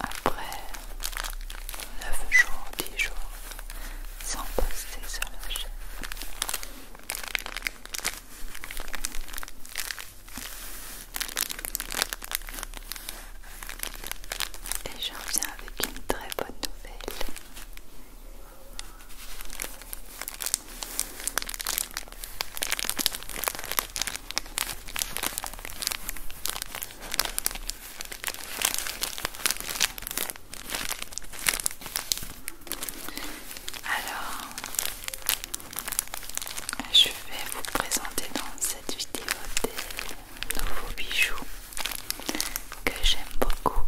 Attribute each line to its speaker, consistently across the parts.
Speaker 1: après neuf jours, dix jours sans poster sur la chaîne. Et j'en viens avec une très bonne nouvelle. Alors, je vais vous présenter dans cette vidéo des nouveaux bijoux que j'aime beaucoup.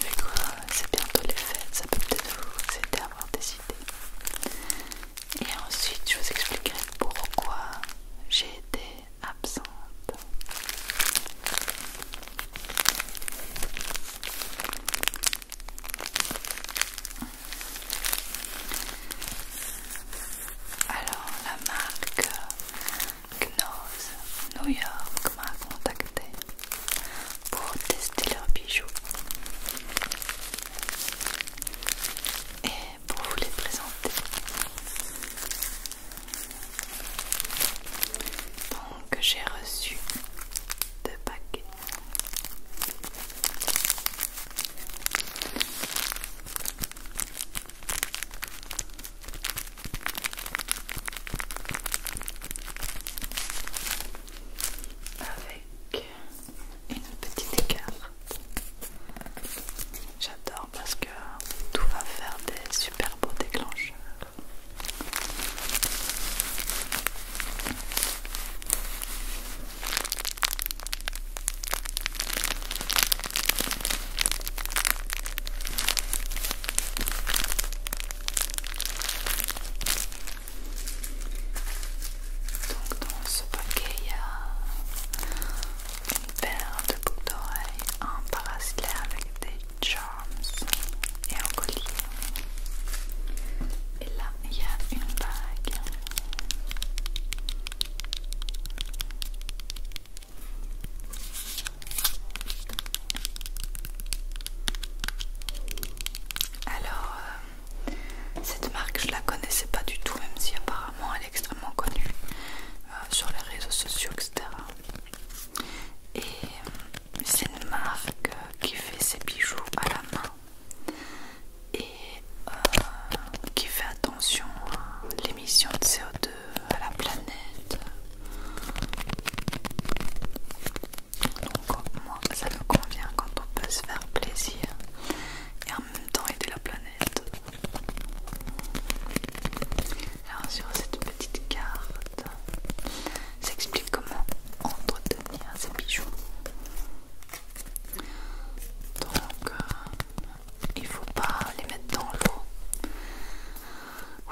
Speaker 1: Vu quoi c'est bientôt les fêtes, ça peut peut-être vous aider à avoir des idées. Et ensuite, je vous expliquerai pourquoi j'ai été absente. Alors, la marque Gnose New York m'a contacté pour tester leurs bijoux. Et pour vous les présenter. Donc j'ai reçu deux paquets. Avec une petite écart. J'adore parce que tout va faire des super beaux déclencheurs. Donc dans ce paquet il y a une paire de boucles d'oreilles, un bracelet avec des charms et un collier. Et là il y a une bague. Alors, euh, cette marque, je la connaissais pas du tout, même si apparemment elle est extrêmement connue euh, sur les réseaux sociaux, etc. Et euh, c'est une marque qui fait ses bijoux à la main et euh, qui fait attention à l'émission de CO2 à la planète. Donc moi ça me convient quand on peut se faire plaisir et en même temps aider la planète. Alors sur cette petite carte, s'explique comment entretenir ces bijoux. Donc euh, il faut pas les mettre dans l'eau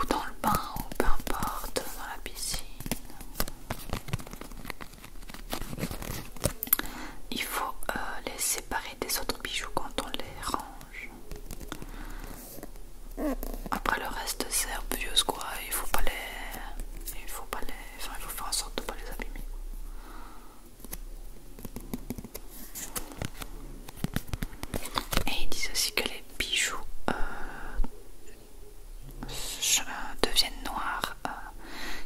Speaker 1: ou dans le bain ou peu importe, dans la piscine. Il faut euh, les séparer des autres bijoux quand on les range. Après le reste c'est obvious quoi, il faut pas les. Il faut pas les. Enfin il faut faire en sorte de pas les abîmer. Et ils disent aussi que les bijoux euh, euh, deviennent noirs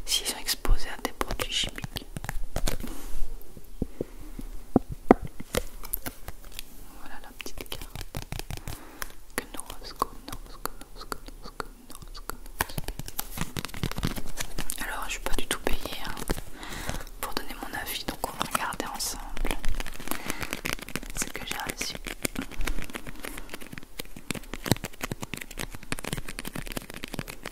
Speaker 1: s'ils sont exposés à des produits chimiques. Voilà la petite carte. Alors, je suis pas du tout payée hein, pour donner mon avis, donc on va regarder ensemble ce que j'ai reçu.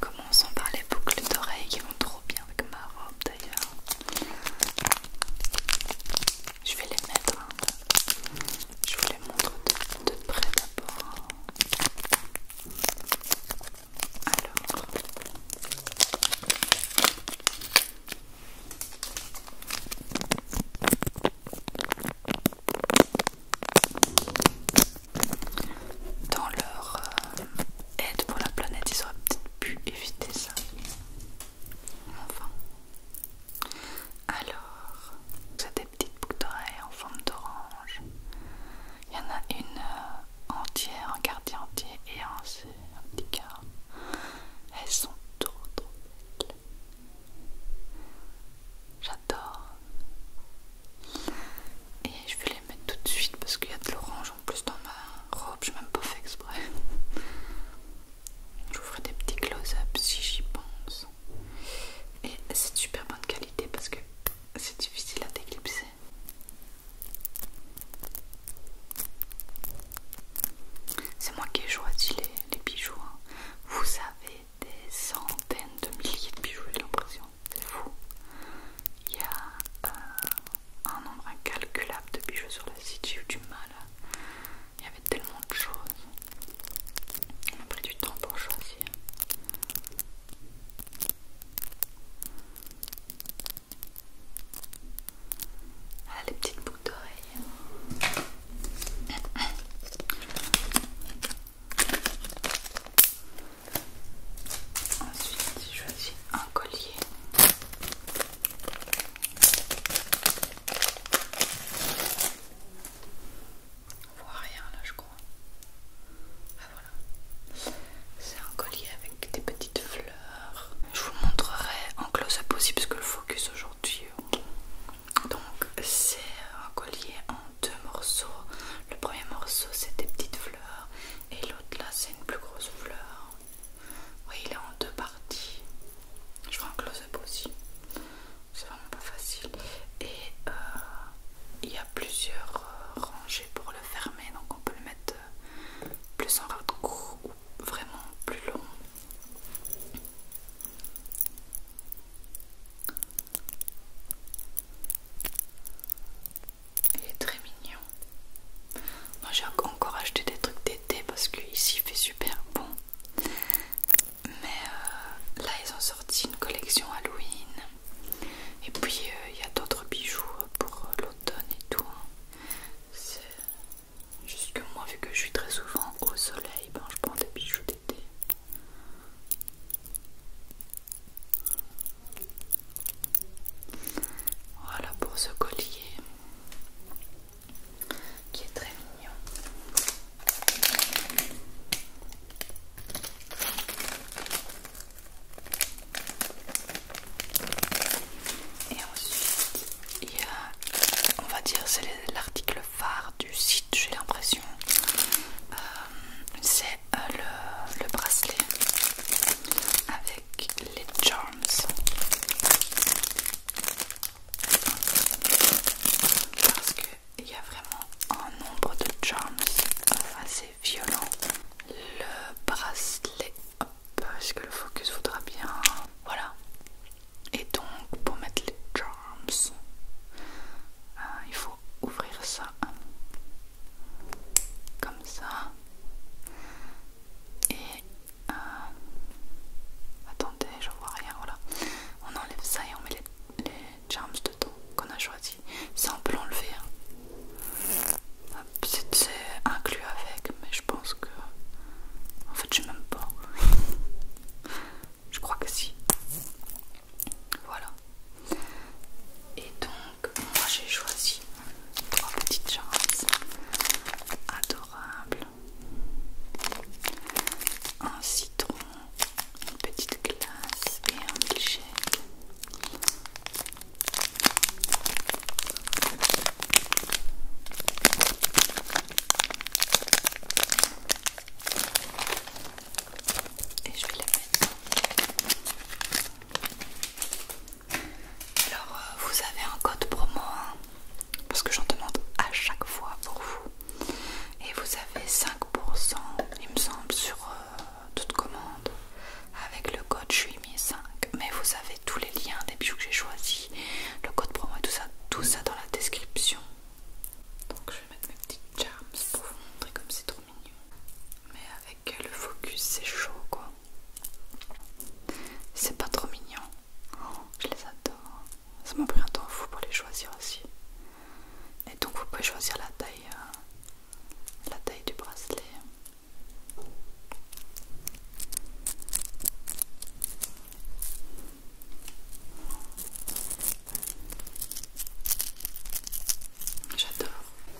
Speaker 1: Commençons par les boucles d'oreilles qui vont trop bien avec ma robe d'ailleurs. Je vais les mettre. Hein. Je vous les montre de près d'abord. Alors, dans leur euh, aide pour la planète, ils auraient peut-être pu éviter ça. Enfin. Alors, c'est des petites boucles d'oreilles en forme d'orange. Il y en a une euh, entière, un quartier entier et un, un petit quart. Elles sont trop trop belles. J'adore. Et je vais les mettre tout de suite parce qu'il y a de l'orange en plus dans ma robe, je même pas fait exprès. Je vous ferai des petits close-ups si j'y pense. Et c'est de super bonne qualité parce que c'est difficile à déclipser. C'est moi qui ai choisi les, bijoux. Hein. Vous avez des centaines de milliers de bijoux, j'ai l'impression. C'est fou. Il y a euh, un nombre incalculable de bijoux sur le site. J'ai eu du mal. Hein. Il y avait tellement de choses. On a pris du temps pour choisir. Ah, les petites boucles d'oreilles. Ensuite, je choisis un collier. On voit rien là, je crois. Ah, c'est un collier avec des petites fleurs. Je vous montrerai en close-up aussi parce que le focus aujourd'hui. Euh, donc c'est un collier en deux morceaux. Le premier morceau c'est des petites fleurs et l'autre là c'est une plus grosse fleur. Oui il est en deux parties. Je ferai un close-up aussi. C'est vraiment pas facile. Et euh, il y a plusieurs euh, rangées pour le fermer donc on peut le mettre euh, plus en vraiment plus long. Il est très mignon. Moi j'ai encore acheté des trucs d'été parce qu'ici il fait super bon. Mais euh, là ils ont sorti une collection Halloween. Et puis euh, il y a d'autres bijoux pour et tout. Hein. C'est juste que moi, vu que je suis très souvent au soleil, ben, je prends des bijoux d'été. Voilà pour ce collier qui est très mignon. Et ensuite, il y a, on va dire, c'est l'article phare du site, j'ai l'impression. Euh, c'est euh, le, le bracelet avec les charms. Parce qu'il y a vraiment un nombre de charms assez violent. Le bracelet, parce que le focus voudra bien. Voilà. Et donc, pour mettre les charms, euh, il faut ouvrir ça comme ça. Et euh, attendez, je vois rien. Voilà, on enlève ça et on met les, les charms dedans qu'on a choisi. Ça on peut l'enlever. C'est inclus avec, mais je pense que. En fait, je sais même pas. je crois que si. Voilà. Et donc, moi j'ai choisi trois petites choses adorables. Un citron, une petite glace et un milkshake. Et je vais les mettre. Alors, euh, vous avez un code promo, hein, parce que j'en demande à chaque fois pour vous. Et vous avez 5%, il me semble, sur euh, toute commande avec le code JUIMI5 mais vous avez tous les liens des bijoux que j'ai choisis le code promo et tout ça tout ça dans la description donc je vais mettre mes petites charms pour vous montrer comme c'est trop mignon mais avec le focus c'est chaud quoi c'est pas trop mignon oh, je les adore ça m'a pris un temps fou pour les choisir aussi et donc vous pouvez choisir la taille euh, la taille du bracelet J'adore.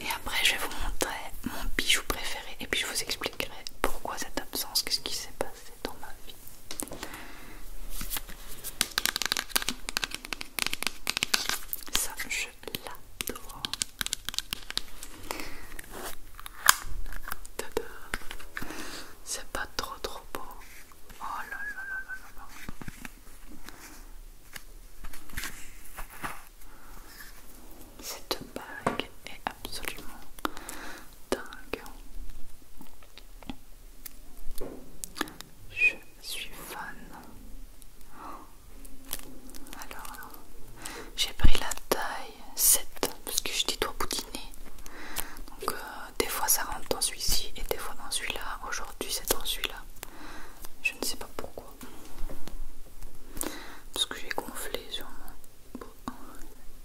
Speaker 1: Et après, je vais vous montrer mon bijou préféré et puis je vous expliquerai pourquoi cette absence, qu'est-ce qui s'est passé dans ma vie. Ça, je c'est pas trop trop beau. Oh Cette bague est absolument dingue. Je suis fan. Alors, j'ai pris la taille 7 parce que je dis toi boudiner. Donc, euh, des fois ça rentre dans celui-ci et des fois dans celui-là. Aujourd'hui, c'est dans celui-là. Je ne sais pas pourquoi. Parce que j'ai gonflé sûrement. beau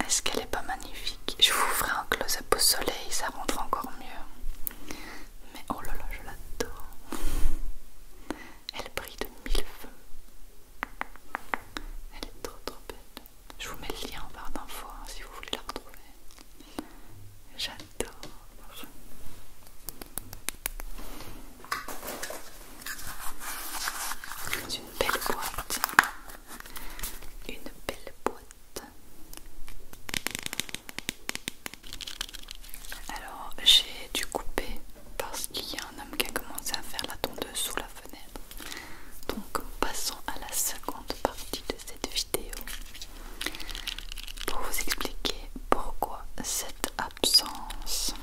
Speaker 1: Est-ce qu'elle est pas magnifique Je vous ferai un close-up au soleil, ça rentre encore mieux. Mais oh là là, je l'adore. Elle brille de mille feux. Elle est trop trop belle. Je vous mets le lien en barre d'infos hein, si vous voulez la retrouver. J'adore. C'est une belle boîte. Une belle boîte. Alors j'ai dû couper parce qu'il y a un homme qui a commencé à faire la tondeuse sous la fenêtre. Donc passons à la seconde partie de cette vidéo pour vous expliquer pourquoi cette absence.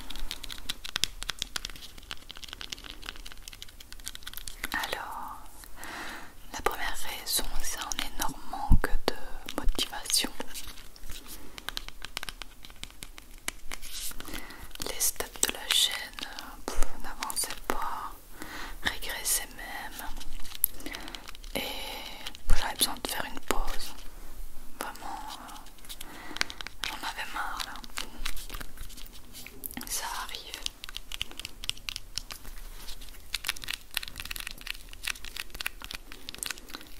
Speaker 1: Alors, la première raison, c'est un énorme manque de motivation les stats de la chaîne n'avançaient pas, régressaient même. Et j'avais besoin de faire une pause. Vraiment, euh, j'en avais marre là. Ça arrive.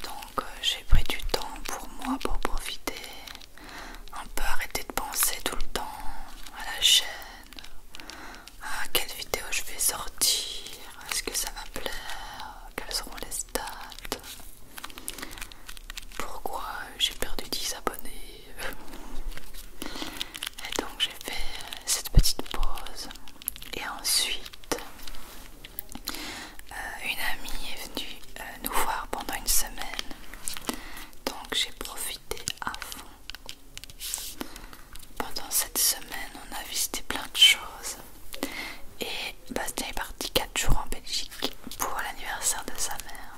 Speaker 1: Donc euh, j'ai pris du temps pour moi pour profiter, un peu arrêter de penser tout le temps à la chaîne, à quelle vidéo je vais sortir, est-ce que ça va plaire, quelles seront les stats, pourquoi j'ai perdu 10 abonnés. Et donc j'ai fait cette petite pause et ensuite euh, une amie est venue euh, nous voir pendant une semaine, donc j'ai profité à fond. Pendant cette semaine, on a visité plein de choses et Bastien est parti 4 jours en Belgique pour l'anniversaire de sa mère.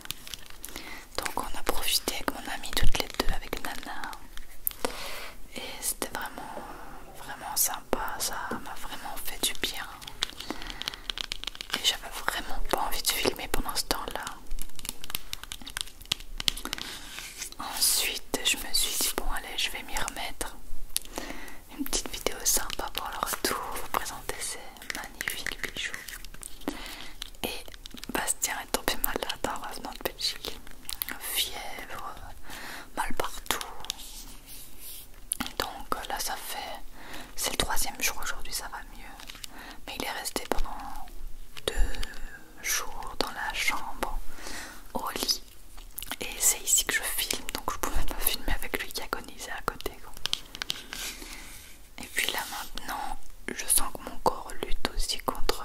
Speaker 1: Donc on a profité avec mon amie toutes les deux avec Nana et c'était vraiment, vraiment sympa ça m'a vraiment fait du bien. Et j'avais vraiment pas envie de filmer pendant ce temps-là. Ensuite, je me suis dit, bon allez, je vais m'y remettre. Une petite vidéo sympa pour leur tour vous présenter ces magnifiques bijoux. Et Bastien est tombé malade en revenant de Belgique fièvre, mal partout. Donc euh, là ça fait, c'est le troisième jour aujourd'hui, ça va mieux. Mais il est resté pendant deux jours dans la chambre, au lit. Et c'est ici que je filme, donc je pouvais pas filmer avec lui qui agonisait à côté. Et puis là maintenant, je sens que mon corps lutte aussi contre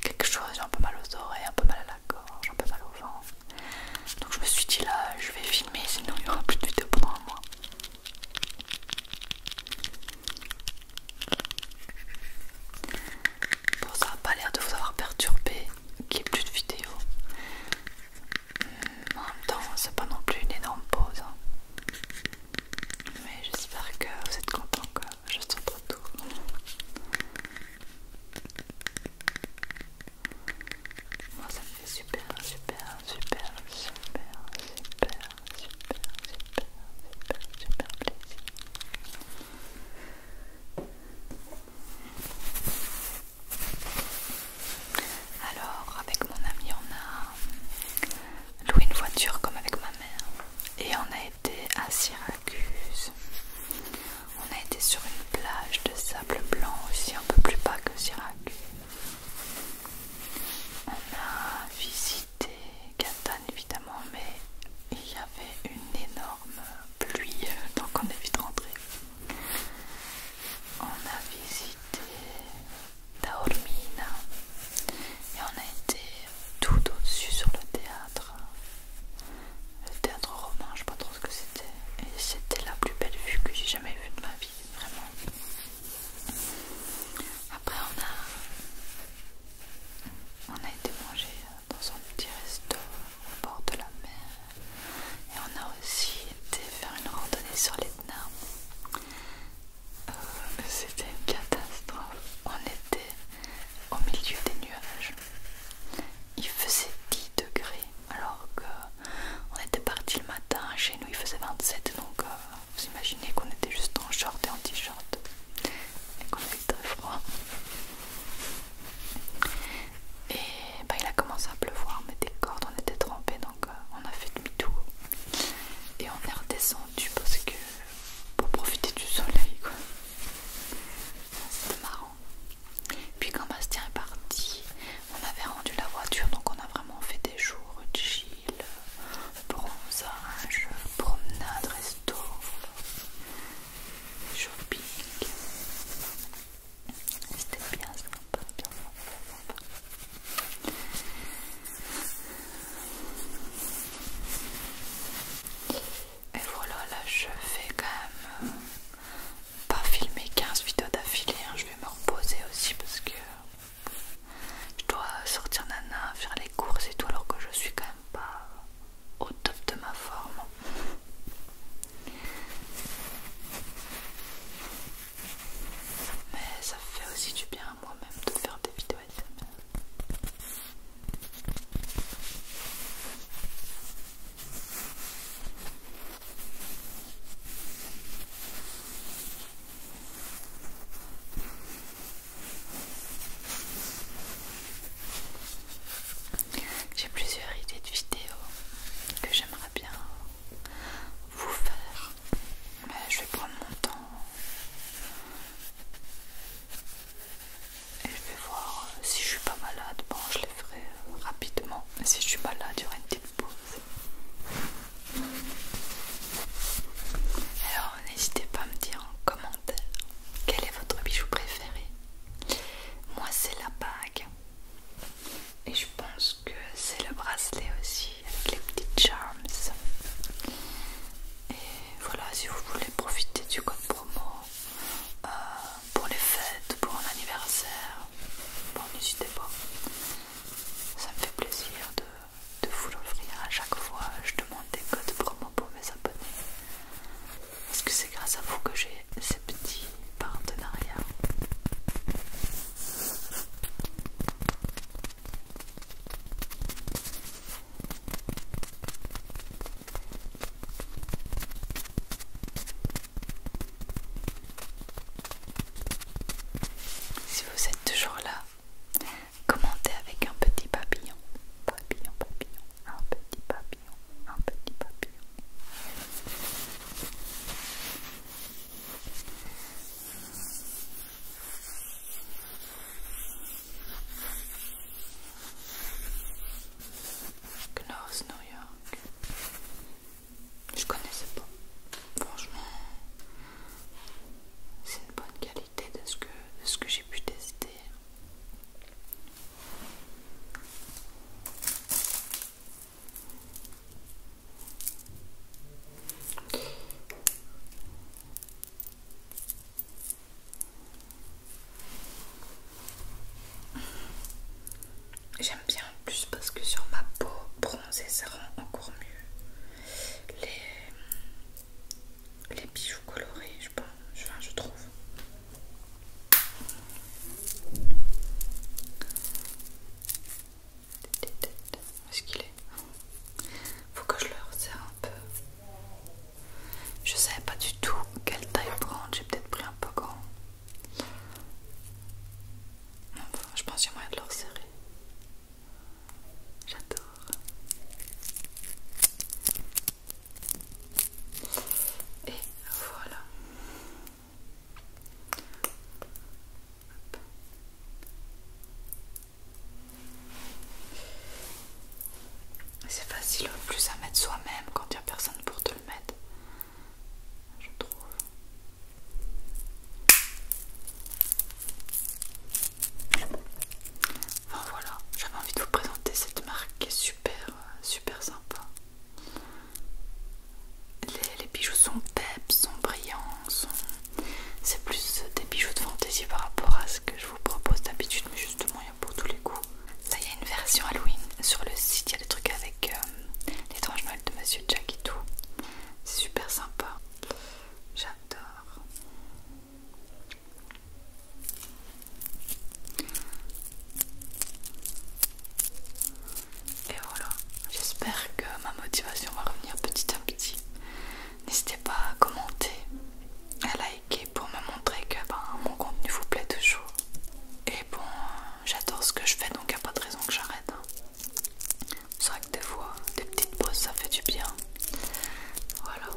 Speaker 1: quelque chose, j'ai un peu mal aux oreilles, un peu mal à la gorge, un peu mal au vent. Donc je me suis dit là, je vais filmer, sinon il n'y aura plus de vidéo pour moi Bon, ça n'a pas l'air de vous avoir perturbé qu'il n'y ait plus de vidéos. Hmm, en même temps, c'est pas non plus une énorme pause. Hein. Mais j'espère que vous êtes contents que je sois pas tout moi oh, ça me fait super, super, super, super, super, super, super, super, plaisir. Alors avec mon ami on a loué une voiture comme avec ma mère et on a été à Syracuse. On a été sur une plage de sable blanc aussi, un peu plus bas que Syracuse. On a visité Catane évidemment, mais il y avait une énorme pluie, donc on est vite rentré. On a visité Taormina et on a été tout au-dessus sur le théâtre le théâtre roman, je sais pas trop ce que c'était. Et c'était la plus belle vue que j'ai jamais vue de ma vie, vraiment. Après on a on a été manger dans un petit resto au bord de la mer et on a aussi été faire une randonnée sur l'Etna. Euh, c'était une catastrophe. On était au milieu des nuages. Il faisait 10 degrés alors qu'on était parti le matin, chez nous il faisait 27 donc euh, vous imaginez qu'on était juste en short et en t-shirt et qu'on avait très froid. Et bah, il a commencé à pleuvoir, mais des cordes on était trempés donc euh, on a fait demi-tour et on est redescendu parce que pour profiter du soleil quoi. C'était marrant. Puis quand Bastien est parti, on avait rendu la voiture, donc on a vraiment fait des jours chill, bronzage, promenade, resto, shopping. C'était bien sympa, bien et voilà, là je vais quand même euh, pas filmer 15 vidéos d'affilée. Hein. Je vais me reposer aussi parce que je dois sortir Nana, faire les courses et tout, alors que je suis quand même pas au top de ma forme. Mais ça fait aussi du bien à moi-même de faire des vidéos j'ai plusieurs idées de vidéos que j'aimerais bien vous faire, mais je vais prendre mon temps et je vais voir euh, si je suis pas malade, bon je les ferai euh, rapidement mais si je suis malade il y une petite pause alors n'hésitez pas à me dire en commentaire quel est votre bijou préféré moi c'est la bague et je pense que c'est le bracelet aussi avec les petites charms et voilà, si vous voulez profiter du code promo euh, pour les fêtes, pour un anniversaire, bon, n'hésitez pas. Ça me fait plaisir de, de vous l'offrir à chaque fois. Je demande des codes promo pour mes abonnés. Parce que c'est grâce à vous que j'ai ces petits partenariats. Si vous êtes toujours là, commentez avec un petit papillon. Papillon, papillon, un petit papillon, un petit papillon. Knorr, New York. Je connaissais pas. Franchement, c'est une bonne qualité de ce que, de ce que j'ai pu tester. J'aime bien en plus parce que sur ma peau bronzée ça rend encore mieux les, bijoux colorés, je pense, je trouve. Où est-ce qu'il est Faut que je le resserre un peu. Je savais pas du tout quelle taille prendre, j'ai peut-être pris un peu grand. je pense qu'il y a moyen de le resserrer. J'adore. Et voilà. C'est facile en plus à mettre soi-même quand il n'y a personne pour te le mettre. Je trouve. Enfin voilà, j'avais envie de vous présenter cette marque qui est super, euh, super sympa. Les, les bijoux sont peps, sont brillants, sont c'est plus euh, des bijoux de fantaisie par rapport à ce que je vous propose d'habitude, mais justement il y a pour tous les goûts. Là il y a une version Halloween sur le site, il y a des trucs avec euh, l'étrange Noël de Monsieur Jack et tout. C'est super sympa. J'adore. Et voilà, j'espère que ma motivation va revenir petit à petit. N'hésitez pas à commenter à liker pour me montrer que ben, mon contenu vous plaît toujours. Et bon, euh, j'adore ce que je fais donc il n'y a pas de raison que j'arrête. Hein. C'est vrai que des fois, des petites pauses ça fait du bien. Voilà.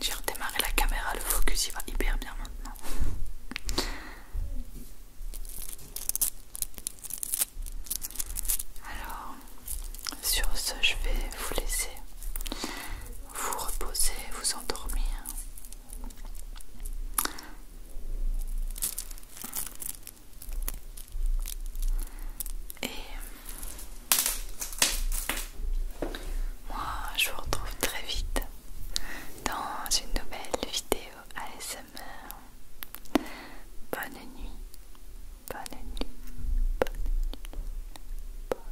Speaker 1: J'ai redémarré la caméra, le focus il va hyper bien maintenant. Alors, sur ce, je vais vous laisser vous reposer, vous endormir. Et moi, je vous retrouve très vite dans une nouvelle vidéo ASMR. Bonne nuit, bonne nuit, bonne nuit, bonne nuit.